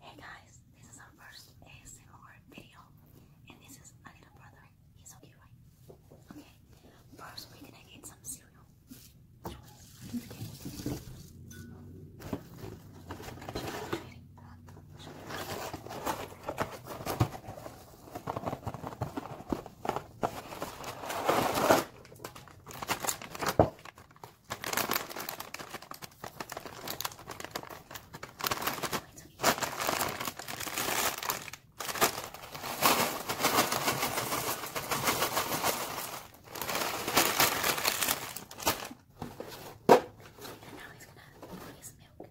Hey guys, this is our first ASMR video, and this is my little brother. He's okay, right? Okay, first we're gonna get some cereal. Okay. And now he's gonna pour his milk.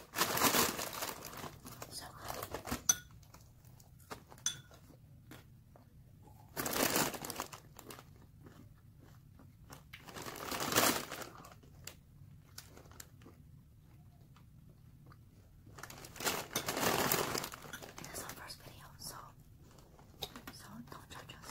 So That's our first video, so so don't judge us.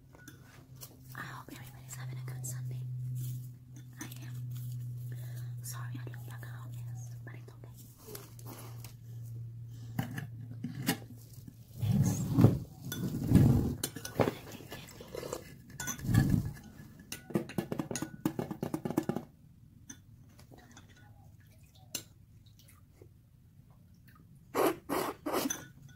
I hope everybody's having a good Sunday. I am. Sorry I look like a hot mess, but it's okay. Next,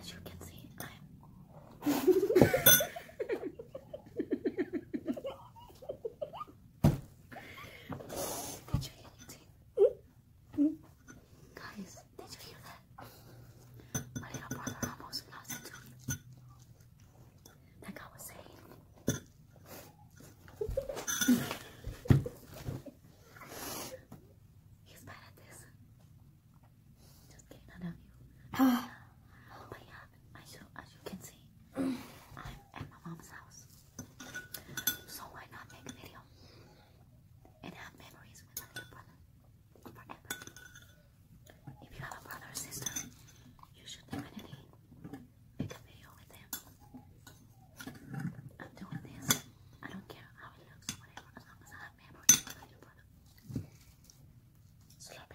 As you can see, I'm. Guys, did you My little brother almost lost it to me. was saying. He's bad at this. Just kidding, I love you. Oh but yeah, as as you can see, I'm at my mom's house. So why not make a video and have memories with my little brother forever? If you have a brother or sister, you should definitely make a video with them. I'm doing this. I don't care how it looks whatever, as long as I have memories for the product. Sloppy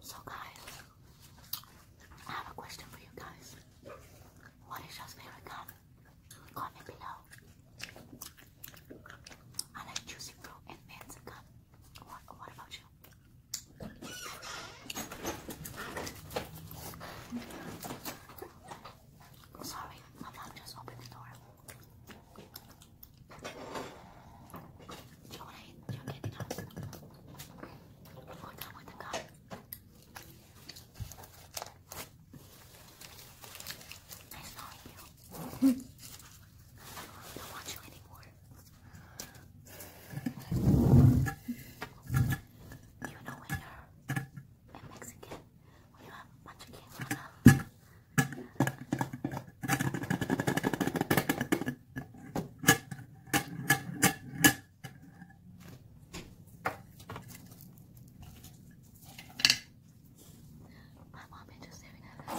So guys, I have a question for you guys. What is your favorite color? Comment below. I like juicy fruit and man's gum. What, about you? Sorry, my mom just opened the door. Do you want to eat? Do you get enough? we with the cup. I saw you. I don't want you anymore. You know when you're a Mexican, when you have a bunch of kids on my mom just staring at us.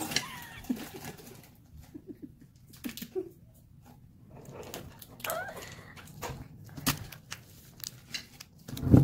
It my name,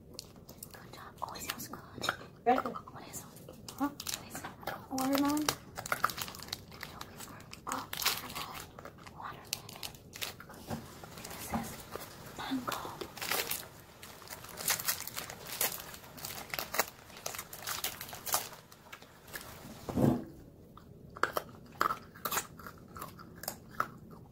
Good job. Always smells good. What is it? Watermelon. Watermelon. This is mango.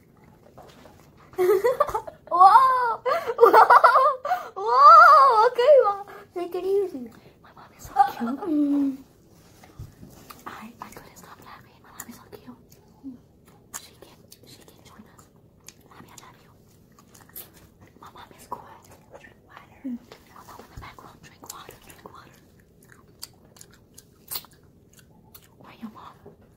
Whoa! Whoa! Whoa! Okay, mom. Take it easy. My mom is cute. I, I couldn't stop laughing. My mom is so cute. She can, she can join us. My mom is cool. Drink water. Mm. Although in the background, drink water, drink water. Where your mom?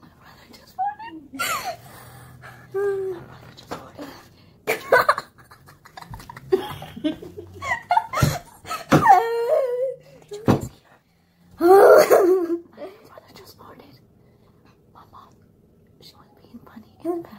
My brother just farted. My brother just farted. Did My brother just farted. My mom, she was being funny in the back.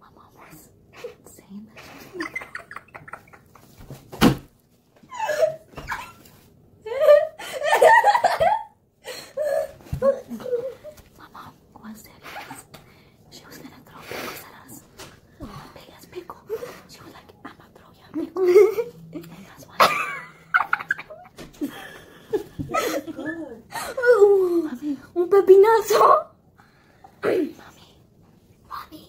My mom was saying My mom was there she was gonna throw pickles at us. Big as pickle. She was like, I'm gonna throw you pickle. and that's why. That's good. mami. Mami. mami.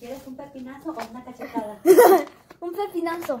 ¿Quieres un pepinazo o una cachetada? un pepinazo.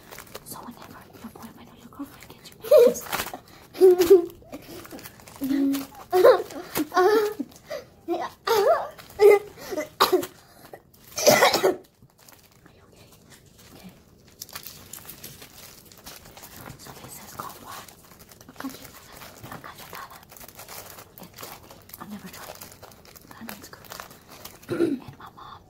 So whenever your boyfriend or your girlfriend gets you pregnant, Are okay? Okay. So this is combo. Cookie, cachettada, and candy. I've never tried it. That means good. and my mom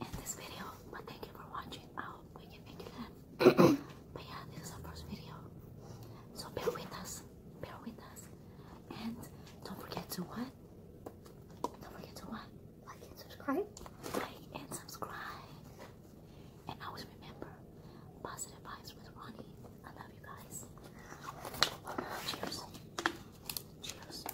in this video. But thank you for watching. we can make it laugh. but yeah, this is our first video. So bear with us. Bear with us. And don't forget to what? Don't forget to what? Like and subscribe. Like and subscribe. And always remember positive vibes with Ronnie. I love you guys. Cheers. Cheers.